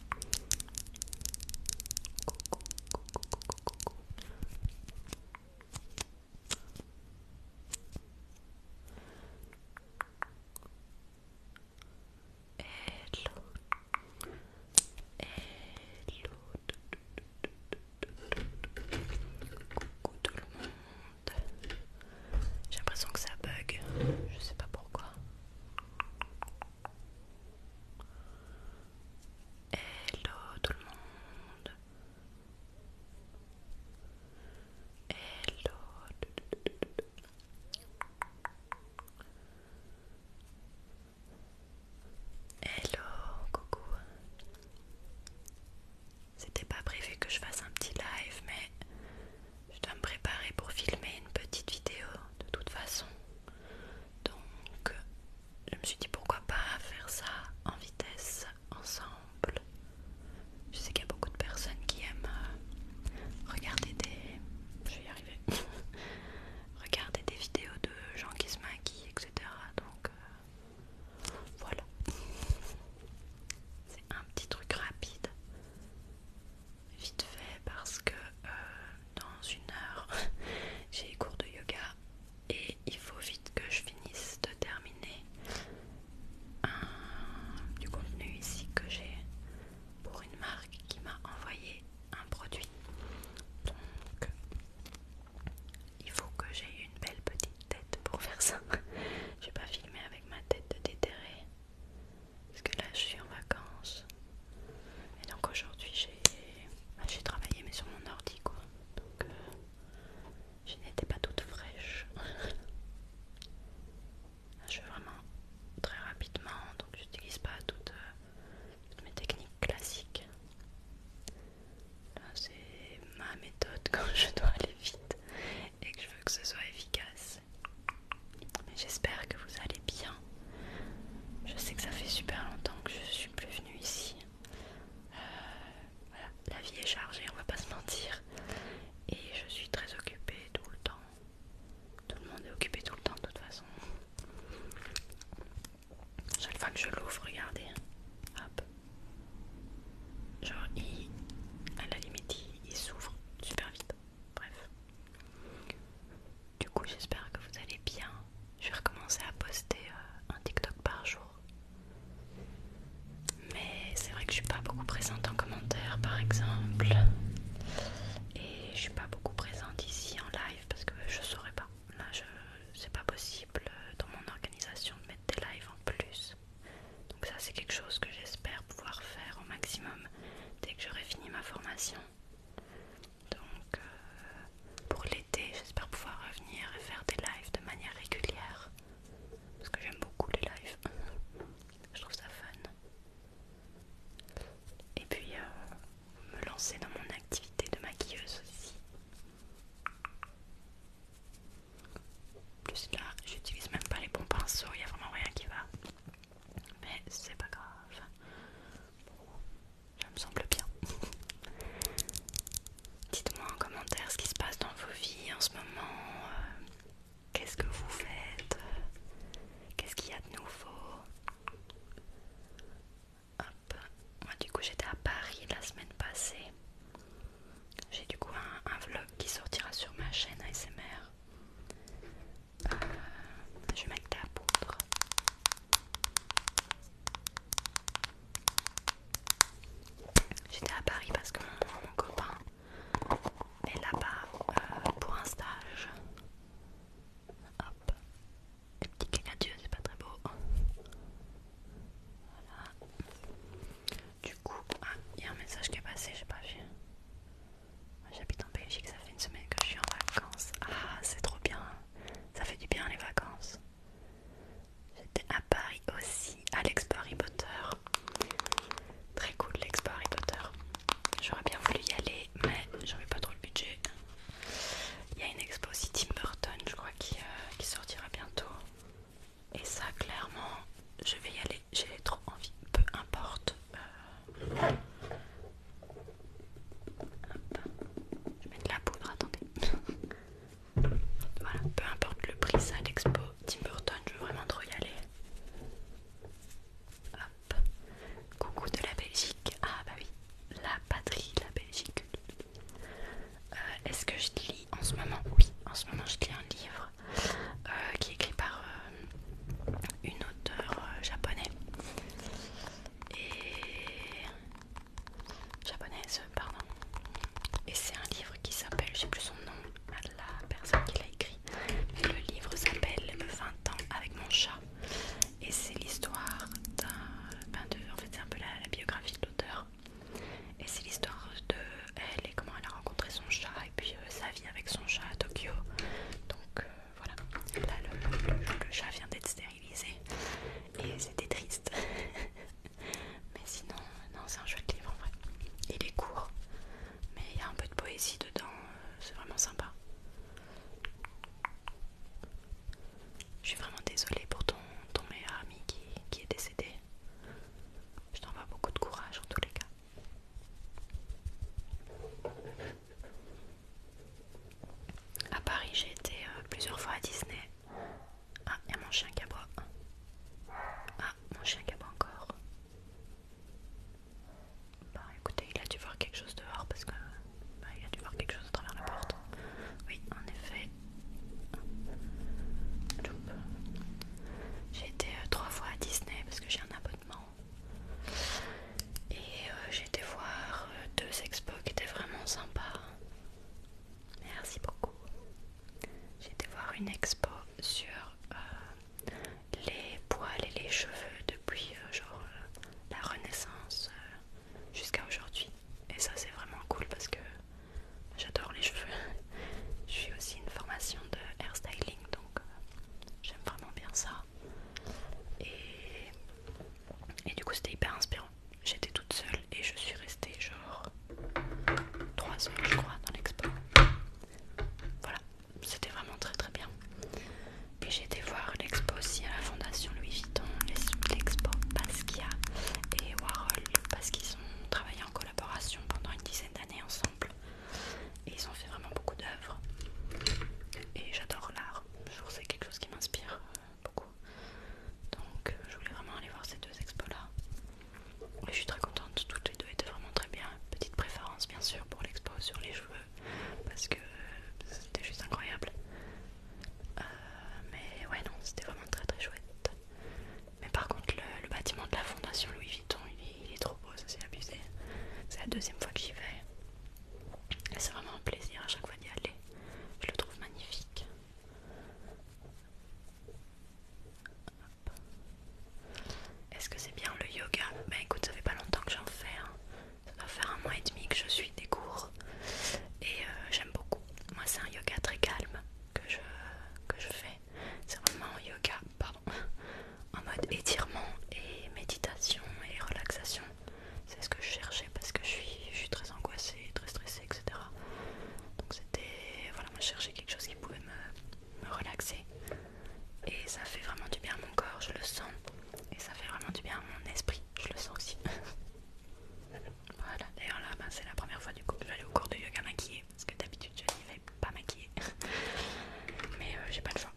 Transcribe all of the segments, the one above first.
Coucou, tout le monde. J'ai l'impression que ça bug. Je sais pas pourquoi. Hello tout le monde. Hello. Hello, coucou. C'était pas prévu que je fasse un petit live, mais je dois me préparer pour filmer une petite vidéo de toute façon. Donc je me suis dit pourquoi pas faire ça en vitesse ensemble. Je sais qu'il y a beaucoup de personnes qui aiment euh, regarder des... Je des vidéos de gens qui se maquillent, etc. Donc euh, voilà. C'est un petit truc rapide vite fait parce que euh, dans une heure j'ai cours de yoga et il faut vite que je finisse de terminer du contenu ici que j'ai pour une marque qui m'a envoyé un produit. Donc il faut que j'ai une belle petite tête pour faire ça. je vais pas filmer avec ma tête de déterré. Parce que là je suis en vacances. Et donc aujourd'hui j'ai bah, travaillé mais sur mon ordi quoi. Donc euh, je n'étais pas toute fraîche. je fais vraiment très rapidement, donc j'utilise pas toutes, euh, toutes mes techniques classiques. Là c'est ma méthode quand je dois aller vite et que je veux que ce soit efficace j'espère que vous allez bien. Je sais que ça fait super longtemps que je suis plus venue ici. Euh, voilà, la vie est chargée, on va pas se mentir. Et je suis très occupée tout le temps. Tout le monde est occupé tout le temps de toute façon. Chaque fois que je l'ouvre, regardez. Hop. Genre, il, à la limite, il s'ouvre super vite. Bref. Du coup, j'espère que vous allez bien. Je vais recommencer à poster euh, un TikTok par jour. Mais c'est vrai que je suis pas beaucoup présente en commentaire, par exemple. Et je suis pas beaucoup présente ici en live parce que je saurais pas. Là, je c'est pas possible euh, dans mon organisation de mettre des lives en plus. Donc ça, c'est quelque chose que j'espère pouvoir faire au maximum dès que j'aurai fini ma formation. Donc euh, pour l'été, j'espère pouvoir revenir et faire des lives de manière régulière. Parce que j'aime beaucoup les lives. Je trouve ça fun. Et puis euh, me lancer dans mon activité de maquilleuse aussi. Plus là, j'utilise même pas les bons pinceaux, il n'y a vraiment rien qui va. Mais c'est pas grave. ça me semble bien. Dites-moi en commentaire ce qui se passe dans vos vies en ce moment. Euh, qu'est-ce que vous faites Qu'est-ce qu'il y a de nouveau Hop. Moi du coup j'étais à Paris la semaine passée. J'ai du coup un vlog qui sortira sur ma chaîne ASMR je vais mettre de la poudre. J'étais à Paris parce que mon, copain est là-bas euh, pour un stage. Hop, petit petits canadiens, c'est pas très beau. Voilà. Du coup, ah, il y a un message qui est passé, Je sais pas vu. J'habite en Belgique, ça fait une semaine que je suis en vacances. Ah, c'est trop bien. Ça fait du bien les vacances. J'étais à Paris aussi, à l'Expo Harry Potter. Très cool l'Expo Harry Potter. J'aurais bien voulu y aller, mais j'avais pas trop le budget. Il y a une expo aussi Tim Burton, je crois, qui euh, sortira bientôt. Et ça, clairement, je vais y aller j'ai trop envie, peu importe. Euh, je mets de la poudre, attendez. voilà, peu importe le prix, ça l'expo Tim Burton, je veux vraiment trop y aller. Coucou de la Belgique. Ah bah oui, la patrie, la Belgique. Euh, est-ce que je lis en ce moment Oui, en ce moment je lis un livre euh, qui est écrit par euh, une auteure euh, japonaise. Et... japonaise, pardon. Et c'est un livre qui s'appelle, je sais plus son nom la personne qui l'a écrit. Le livre s'appelle 20 ans avec mon chat. Et c'est l'histoire d'un... Ben en fait c'est un peu la biographie de l'auteur. Et c'est l'histoire de elle et comment elle a rencontré son chat et puis euh, ça vit avec son chat à Tokyo. Donc euh, voilà, là le, chat vient d'être stérilisé et c'était triste. mais sinon, euh, non, c'est un chouette livre en vrai. Il est court, mais il y a un peu de poésie dedans, c'est vraiment sympa. Je suis vraiment désolée pour ton, meilleur ami qui, qui est décédé. Je t'envoie beaucoup de courage en tous les cas. À Paris, j'ai été euh, plusieurs fois à Disney. Ah, il y a mon chien qui aboie. Ah, mon chien qui aboie encore. Bah écoutez, il a dû voir quelque chose dehors parce que. Bah, il a dû voir quelque chose à travers la porte. Oui, en effet. J'ai été euh, trois fois à Disney parce que j'ai un abonnement et euh, j'ai été voir euh, deux expos qui étaient vraiment sympas. Merci beaucoup. J'ai été voir une expo sur euh, les poils et les cheveux depuis genre la Renaissance jusqu'à aujourd'hui. Et ça c'est vraiment cool parce que j'adore les cheveux. Je suis aussi une formation de hairstyling euh, j'aime vraiment bien ça. Et, et du coup, c'était hyper inspirant. J'étais toute seule et je suis restée genre 3 heures, je crois, dans l'expo. Voilà, c'était vraiment très très bien. Puis j'ai été voir l'expo aussi à la Fondation Louis Vuitton, l'expo Basquiat et Warhol parce qu'ils ont travaillé en collaboration pendant une dizaine d'années ensemble. Et ils ont fait vraiment beaucoup d'œuvres. Et j'adore l'art. C'est quelque chose qui m'inspire euh, beaucoup. Donc euh, je voulais vraiment aller voir ces deux expos-là. Et je suis très contente. Toutes les deux étaient vraiment très bien. Petite préférence bien sûr pour l'expo sur les cheveux. Parce que euh, c'était juste incroyable. mais ouais non, c'était vraiment très très chouette. Mais par contre, le, bâtiment de la fondation Louis Vuitton, il, est trop beau, ça c'est abusé. C'est la deuxième fois que j'y vais. C'est vraiment un plaisir à chaque fois d'y aller. Je le trouve magnifique. Est-ce que c'est bien le yoga Bah écoute, ça fait pas longtemps que j'en fais. Hein. Ça doit faire un mois et demi que je suis des cours. Et euh, j'aime beaucoup. Moi, c'est un yoga très calme que je, je fais. C'est vraiment en yoga, pardon, en mode étirement et méditation et relaxation. C'est ce que je cherchais parce que je suis, je suis très angoissée, très stressée, etc. Donc c'était, voilà, moi je cherchais quelque chose qui pouvait me, relaxer. Et ça fait vraiment du bien à mon corps, je le sens. Et ça fait vraiment du bien à mon esprit, je le sens aussi. voilà, d'ailleurs là, ben, c'est la première fois du coup que je au cours de yoga maquillé parce que d'habitude je n'y vais pas maquiller mais euh, j'ai pas le choix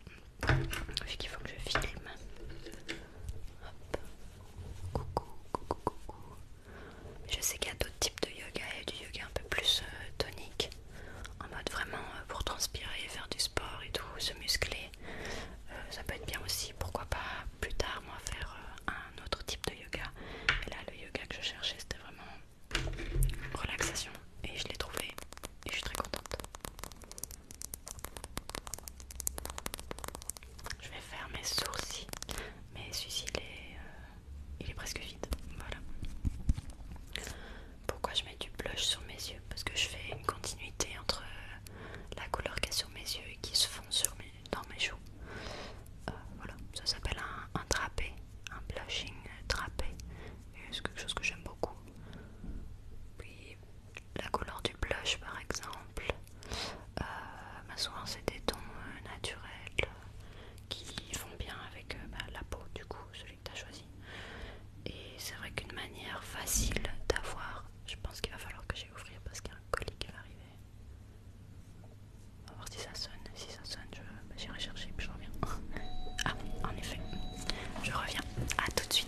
vu qu'il faut que je filme Hop. coucou coucou coucou je sais qu'il y a d'autres types de yoga et du yoga un peu plus euh, tonique en mode vraiment euh, pour transpirer faire du sport et tout se muscler ça peut être bien aussi pourquoi pas plus tard moi faire un autre type de yoga mais là le yoga que je cherchais c'était vraiment relaxation et je l'ai trouvé et je suis très contente. Je vais faire mes sourcils, mais celui-ci euh, il, est presque vide. Voilà. Pourquoi je mets du blush sur mes yeux Parce que je fais une continuité entre euh, la couleur qui est sur mes yeux et qui se fond dans mes joues. Euh, voilà, ça s'appelle un, trapé un blushing trapé C'est quelque chose que j'aime beaucoup. Puis la couleur du blush par exemple, euh, ma souvent c'est des tons euh, naturels qui font bien avec bah, la peau du coup, celui que tu as choisi. Et c'est vrai qu'une manière facile d'avoir, je pense qu'il va falloir que j'aille ouvrir parce qu'il y a un colis qui va arriver. On va voir si ça sonne. Si ça sonne, bah, j'irai vais chercher puis je reviens. Ah, en effet, je reviens. A tout de suite.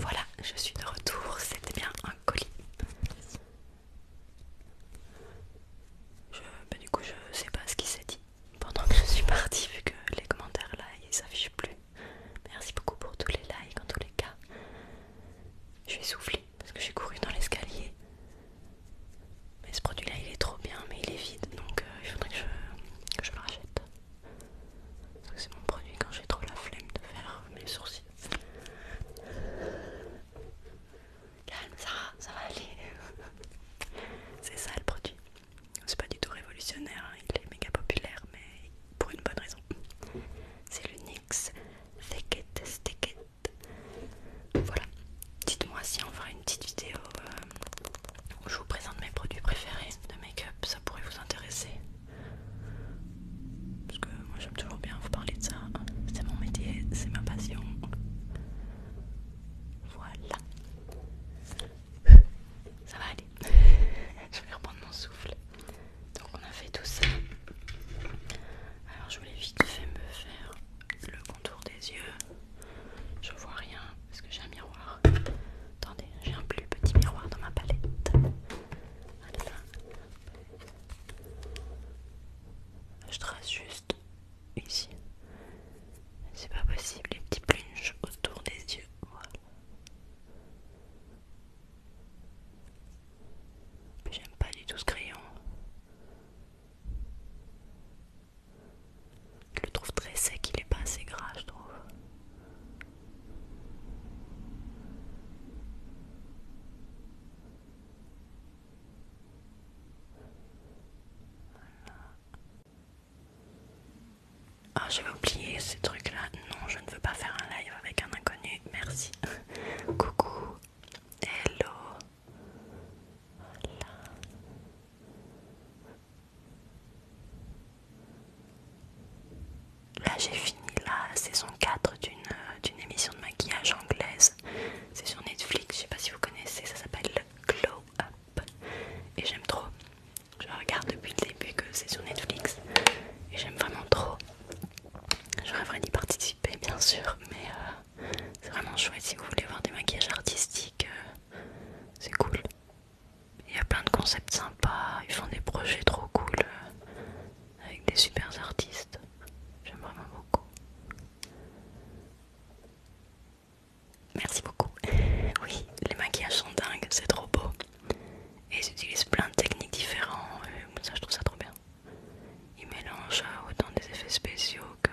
Voilà, je suis de retour, c'était bien un colis. Bah, du coup, je sais pas ce qui s'est dit pendant que je suis partie, vu que les commentaires là ils s'affichent plus. Merci beaucoup pour tous les likes en tous les cas. Je suis soufflée parce que j'ai couru dans l'escalier. Mais ce produit là il est trop bien mais il est vide donc euh, il faudrait que je, le rachète. Parce que c'est mon produit quand j'ai trop la flemme de faire mes sourcils. Calme ça, ça va aller. c'est ça le produit. C'est pas du tout révolutionnaire, hein. il est méga populaire mais pour une bonne raison. C'est le NYX Thicket Sticket voilà, dites-moi si on fera une petite vidéo euh, où je vous présente mes produits préférés de make-up, ça pourrait vous intéresser. Parce que moi j'aime toujours bien vous parler de ça, hein. c'est mon métier, c'est ma passion. Voilà. Ça va aller. je vais reprendre mon souffle. Donc on a fait tout ça. Alors je voulais vite fait me faire le contour des yeux. Je vois rien parce que j'ai un miroir. Attendez, j'ai un plus petit miroir dans ma palette. Je trace juste ici. C'est pas possible, les petits punches autour des yeux. Voilà. J'aime pas du tout ce crayon. Je le trouve très sec, il est pas assez gras, je trouve. Voilà. Ah, j'avais oublié ces trucs-là. Non, je ne veux pas faire un live avec un inconnu. Merci. Coucou. Hello. Là j'ai fini la saison 4 euh, d'une émission de maquillage anglaise. C'est sur Netflix, je sais pas si vous connaissez, ça s'appelle Glow Up. Et j'aime trop. Je regarde depuis le début que c'est sur Netflix. Et j'aime vraiment trop. J'aurais vraiment d'y participer, bien sûr, mais euh, c'est vraiment chouette si vous voulez voir des maquillages artistiques, euh, c'est cool. Il y a plein de concepts sympas, ils font des projets trop cool euh, avec des super artistes. J'aime vraiment beaucoup. Merci beaucoup. oui, les maquillages sont dingues, c'est trop beau. Et ils utilisent plein de techniques différentes. Euh, ça, je trouve ça trop bien. Ils mélangent euh, autant des effets spéciaux que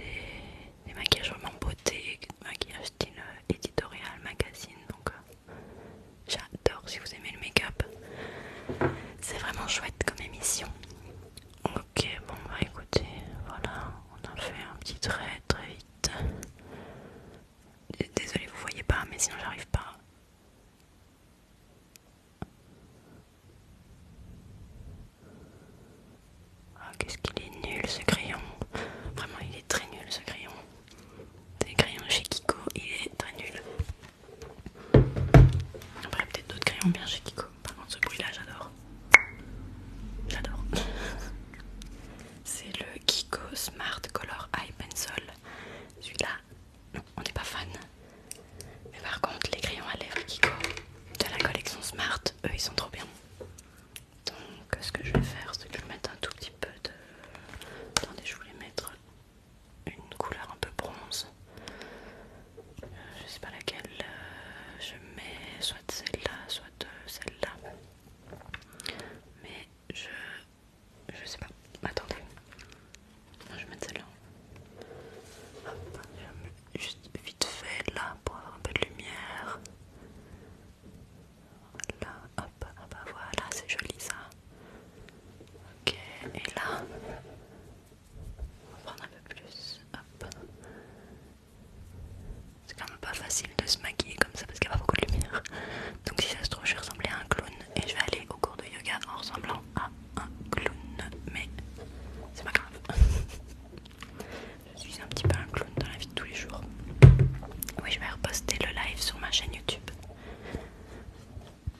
des, maquillages vraiment beauté, maquillage style euh, éditorial, magazine. Donc, j'adore si vous aimez le make-up. C'est vraiment chouette comme émission. Ok, bon bah écoutez, voilà, on a fait un petit trait très vite. Désolé vous voyez pas, mais sinon j'arrive pas Oh qu'est-ce qu'il est nul ce crayon! Vraiment, il est très nul ce crayon. C'est crayon chez Kiko, il est très nul. Après, peut-être d'autres crayons bien chez Kiko. Par contre, ce bruit là, j'adore. J'adore. C'est le Kiko Smart Color Eye Pencil. Celui-là, non, on n'est pas fan. Mais par contre, les crayons à lèvres Kiko de la collection Smart, eux ils sont trop bien. Donc, ce que je vais faire, c'est que je vais mettre un tout petit peu de. Attendez, je voulais mettre une couleur un peu bronze. Euh, je sais pas laquelle euh, je mets, soit celle-là, soit euh, celle-là. Mais je je sais pas. Attendez. je vais mettre celle-là. Hop, je vais juste vite fait là pour avoir un peu de lumière. Là, hop, hop ah bah voilà, c'est joli ça. Ok, et là, on va prendre un peu plus. Hop. C'est quand même pas facile de se maquiller parce qu'il n'y a pas beaucoup de lumière. Donc si ça se trouve, je vais ressembler à un clown et je vais aller au cours de yoga en ressemblant à un clown. Mais c'est pas grave. je suis un petit peu un clown dans la vie de tous les jours. Oui, je vais reposter le live sur ma chaîne YouTube.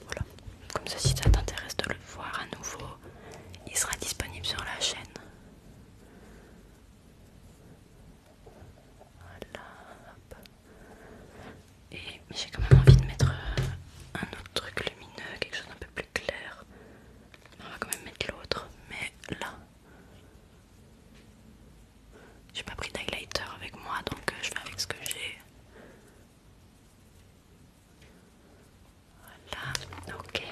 Voilà. Comme ça, si ça t'intéresse de le voir à nouveau, il sera disponible sur la chaîne. Voilà, Et j'ai quand même envie de mettre euh, un autre truc lumineux, quelque chose d'un peu plus clair. On va quand même mettre l'autre, mais là. J'ai pas pris d'highlighter avec moi donc euh, je vais avec ce que j'ai. Voilà, ok.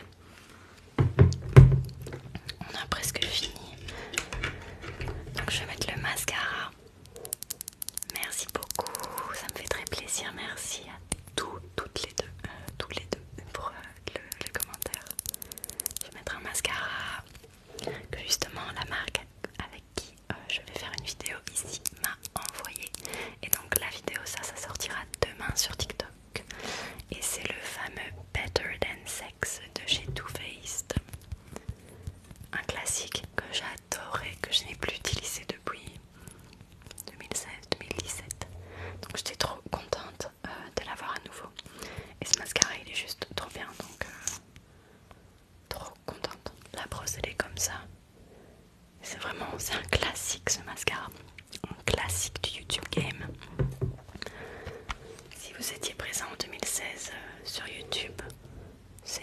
On a presque fini. Donc je vais mettre le mascara. Merci beaucoup, ça me fait très plaisir. Merci à toutes les deux, euh, les deux pour euh, le, commentaire. Je vais mettre un mascara que justement la marque avec qui euh, je vais faire une vidéo ici m'a envoyé. Et donc la vidéo ça, ça sortira demain sur TikTok. Et c'est le fameux Better Than Sex de chez Too Faced. Un classique que j'adorais, que je n'ai plus utilisé depuis 2016-2017. Donc j'étais trop contente euh, de l'avoir à nouveau. Et ce mascara il est juste trop bien donc euh, trop contente. La brosse elle est comme ça. C'est vraiment c'est un classique ce mascara. Un classique du YouTube game. Si vous étiez présent en 2016 euh, sur YouTube, c'est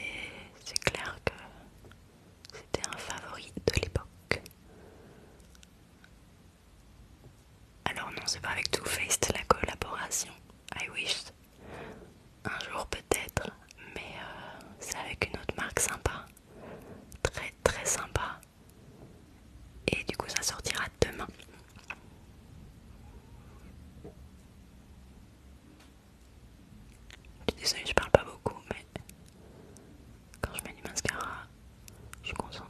clair que c'était un favori de l'époque. Alors non, c'est pas avec Too Faced la collaboration. I wish. Un jour peut-être, mais euh, c'est avec une autre marque sympa. Très très sympa. Et du coup ça sortira demain. Je je parle pas beaucoup, mais quand je mets du mascara, je suis concentrée.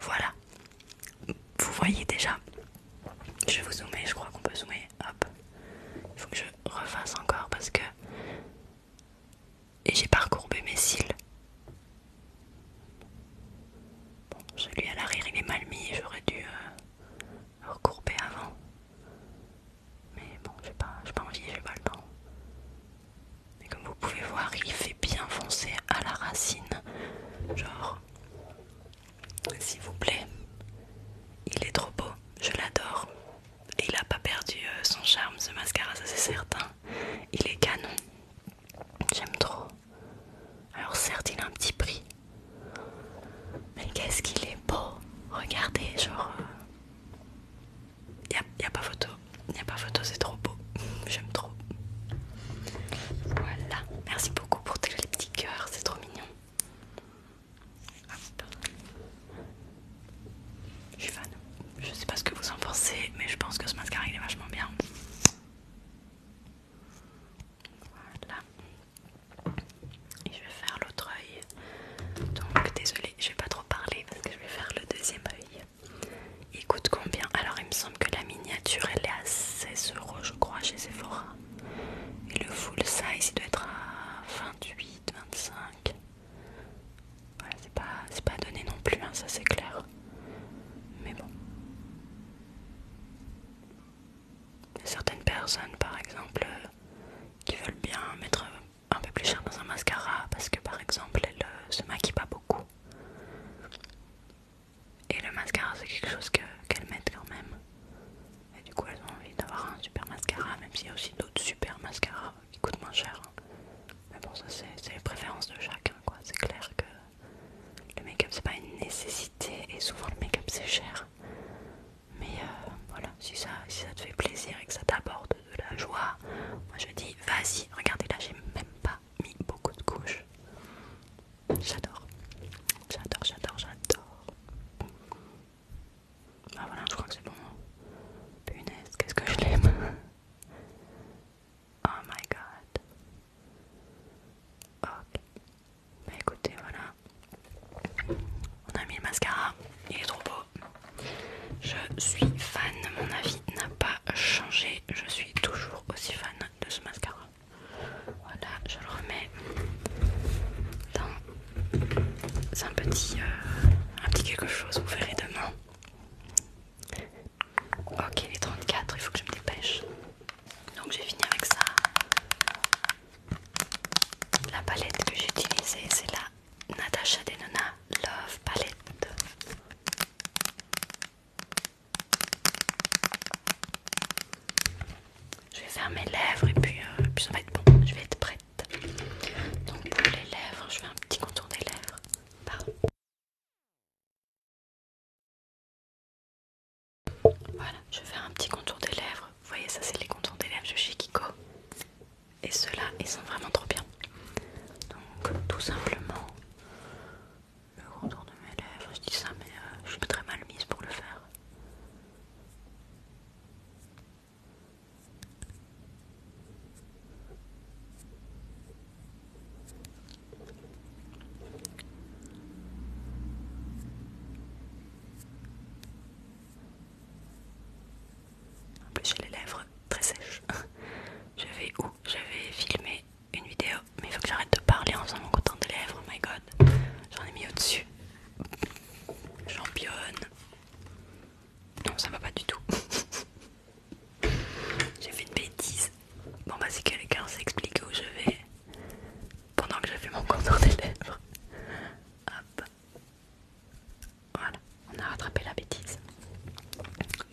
Voilà. Vous voyez déjà. Je vous zoomer, je crois qu'on peut zoomer. Hop. Il faut que je refasse encore parce que. Et j'ai pas recourbé mes cils. Bon, celui à l'arrière il est mal mis, j'aurais dû euh, recourber avant. Mais bon, j'ai pas, pas envie, j'ai pas le temps comme vous pouvez voir, il fait bien foncer à la racine. Genre, s'il vous plaît, il est trop beau, je l'adore. Et il a pas perdu euh, son charme, ce mascara, ça c'est certain. Il est canon. J'aime trop. Alors certes, il a un petit prix. Mais qu'est-ce qu'il est beau Regardez, genre... Il euh, n'y a pas photo. Il n'y a pas photo, c'est trop beau. J'aime trop. Voilà. Merci beaucoup pour tous les petits cœurs, c'est trop mignon. Je suis fan. Je sais pas ce que vous en pensez, mais je pense que ce mascara il est vachement bien. Voilà. Et je vais faire l'autre œil. Donc désolée, je vais pas trop parler parce que je vais faire le deuxième œil. Il coûte combien Alors il me semble que la miniature elle est à 16€ je crois chez Sephora. Et le full size il doit être à 28, 25. Voilà, c'est pas, donné non plus, hein, ça c'est clair. Mais bon. Certaines personnes par exemple euh, qui veulent bien mettre un peu plus cher dans un mascara parce que par exemple elle euh, se maquille pas beaucoup et le mascara, c'est quelque chose qu'elles mettent quand même. Et du coup, elles ont envie d'avoir un super mascara, même s'il y a aussi d'autres super mascaras qui coûtent moins cher. Hein. Mais bon, ça, c'est les préférences de chacun, quoi. C'est clair que le make-up, c'est pas une nécessité, et souvent le make-up, c'est cher. Mais euh, voilà, si ça, si ça te fait plaisir et que ça t'apporte de la joie, moi je dis vas-y, regardez là, j'ai même pas mis beaucoup de couches. J'adore. J'adore, j'adore, j'adore. Ah, voilà, je crois que c'est bon. Punaise, qu'est-ce que je l'aime. Oh my god. Ok. Bah écoutez, voilà. On a mis le mascara. Il est trop beau. Je suis fan, de mon avis n'a pas changé. Je suis toujours aussi fan de ce mascara. Voilà, je le remets dans un petit, euh, un petit quelque chose. Vous verrez demain. Ok, les est 34, il faut que je me dépêche. Donc j'ai fini avec ça. La palette que j'ai utilisée, c'est la Natasha Denona Love Palette. Je vais faire mes lèvres et euh, puis, ça va être bon, je vais être prête. Donc pour les lèvres, je fais un petit contour des lèvres. Pardon. Voilà, je vais faire un petit contour des lèvres. Vous voyez ça c'est les contours des lèvres de chez Kiko et ceux-là ils sont vraiment trop bien donc tout simplement le contour de mes lèvres je dis ça mais euh, je suis très mal mise pour le faire en plus j'ai les lèvres très sèche je vais où Je vais filmer une vidéo, mais il faut que j'arrête de parler en faisant mon content des lèvres. Oh my god, j'en ai mis au-dessus. Championne. Non, ça va pas du tout. J'ai fait une bêtise. Bon, bah, si quelqu'un s'explique où je vais pendant que je fait mon contour des lèvres. Hop. Voilà, on a rattrapé la bêtise.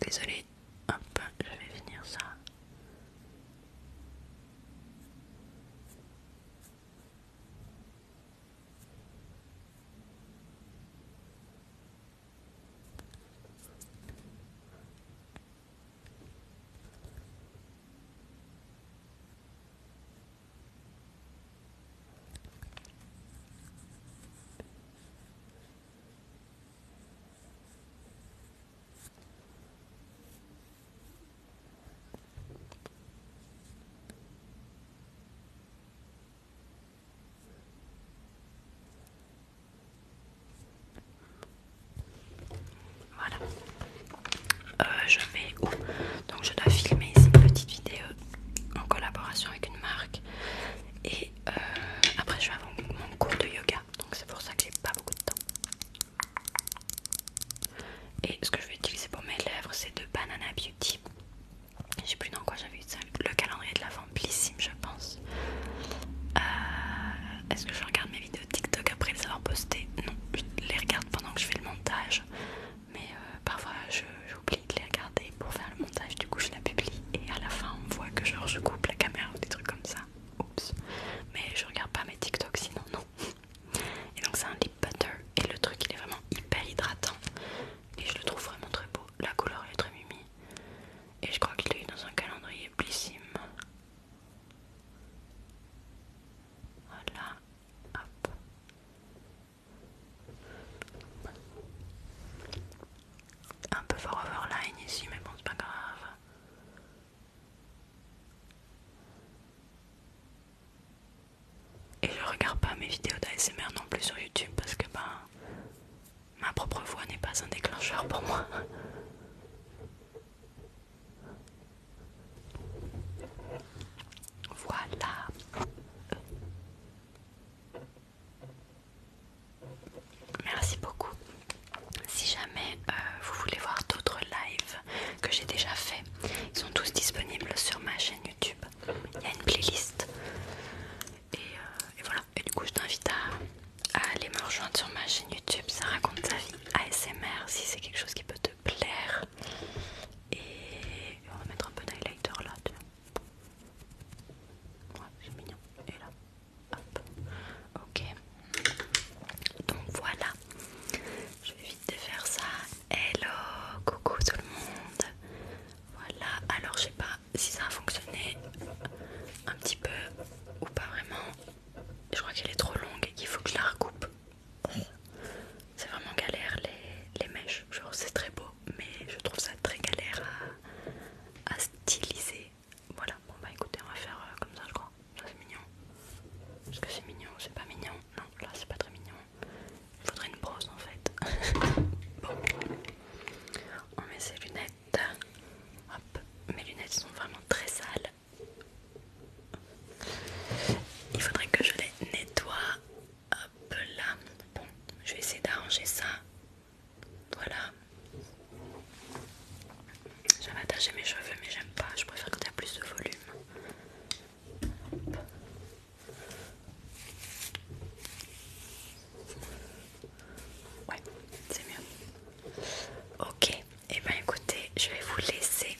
Désolée, hop, je vais finir ça. Voilà, euh, je vais où Donc, je dois filmer cette une petite vidéo en collaboration avec une marque et euh, après, je vais avoir mon cours de yoga. Donc, c'est pour ça que j'ai pas beaucoup de temps. Et ce que je vais utiliser pour mes lèvres, c'est de Banana Beauty. Je sais plus dans quoi j'avais ça. Le calendrier de la Blissime, je pense. Euh, est-ce que je regarde mes vidéos TikTok après les avoir postées Non, je les regarde pendant que je fais le montage. Mais euh, parfois, je j'oublie de les regarder pour faire le montage, du coup je la publie et à la fin on voit que genre je coupe la caméra ou des trucs comme ça. Oups. Mais je regarde pas mes TikTok sinon non. Et donc c'est un lip butter et le truc il est vraiment hyper hydratant et je le trouve vraiment très beau. La couleur est très mimi et je crois que je eu dans un calendrier blissime. Voilà, hop. Un peu fort ici, mais bon, c'est pas grave. Et je regarde pas mes vidéos d'ASMR non plus sur YouTube parce que ben, ma propre voix n'est pas un déclencheur pour moi. Voilà. Merci beaucoup. Si jamais euh, vous voulez voir d'autres lives que j'ai déjà fait, ils sont tous disponibles sur ma chaîne YouTube. Il y a une playlist. Et, euh, voilà. Et du coup, je t'invite à, aller me rejoindre sur ma chaîne YouTube. Ça raconte sa vie ASMR si c'est quelque chose qui peut te plaire. Et on va mettre un peu d'highlighter là, tu vois. Ouais, c'est mignon. Et là, hop. Ok. Donc voilà. Je vais vite faire ça. Hello, coucou tout le monde. Voilà. Alors je sais pas si ça a fonctionné un petit peu ou pas vraiment. Je crois qu'elle est trop longue et qu'il faut que je la recoupe. C'est vraiment galère les, les mèches. Genre c'est très beau mais je trouve ça très galère à, styliser. Voilà, bon bah écoutez, on va faire euh, comme ça, je crois. Ça c'est mignon. Est-ce que c'est mignon C'est pas mignon Non, là c'est pas très mignon. Il faudrait une brosse en fait. bon, on met ses lunettes. Hop, mes lunettes sont vraiment très sales. Il faudrait que je les nettoie Hop là, bon, je vais essayer d'arranger ça. Voilà. J'avais attaché mes cheveux, mais j'aime pas. Je préfère quand il y a plus de volume. Ouais, c'est mieux. Ok, et eh bien ben écoutez, je vais vous laisser.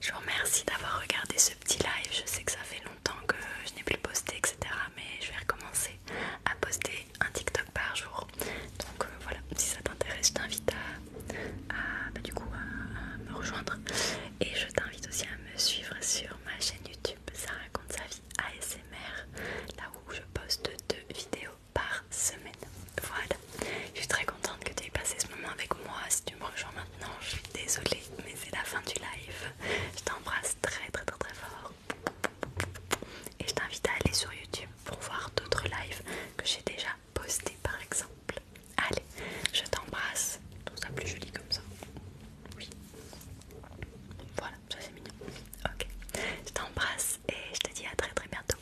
Je vous remercie d'avoir regardé ce petit live. Je sais que ça fait temps que je n'ai plus posté, etc. Mais je vais recommencer à poster un TikTok par jour. Donc euh, voilà, si ça t'intéresse, je t'invite à, bah, du coup à, à me rejoindre. Et je t'invite aussi à me suivre sur ma chaîne YouTube. Ça raconte sa vie ASMR, là où je poste deux vidéos par semaine. Voilà, je suis très contente que tu aies passé ce moment avec moi. Si tu me rejoins maintenant, je suis désolée mais c'est la fin du live. Je t'embrasse très très très très fort. Et je t'invite à aller sur YouTube pour voir d'autres lives que j'ai déjà posté par exemple. Allez, je t'embrasse. tout ça plus joli comme ça. Oui. Voilà, ça c'est mignon. Ok. Je t'embrasse et je te dis à très très bientôt.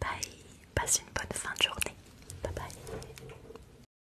Bye. Passe une bonne fin de journée. Bye bye.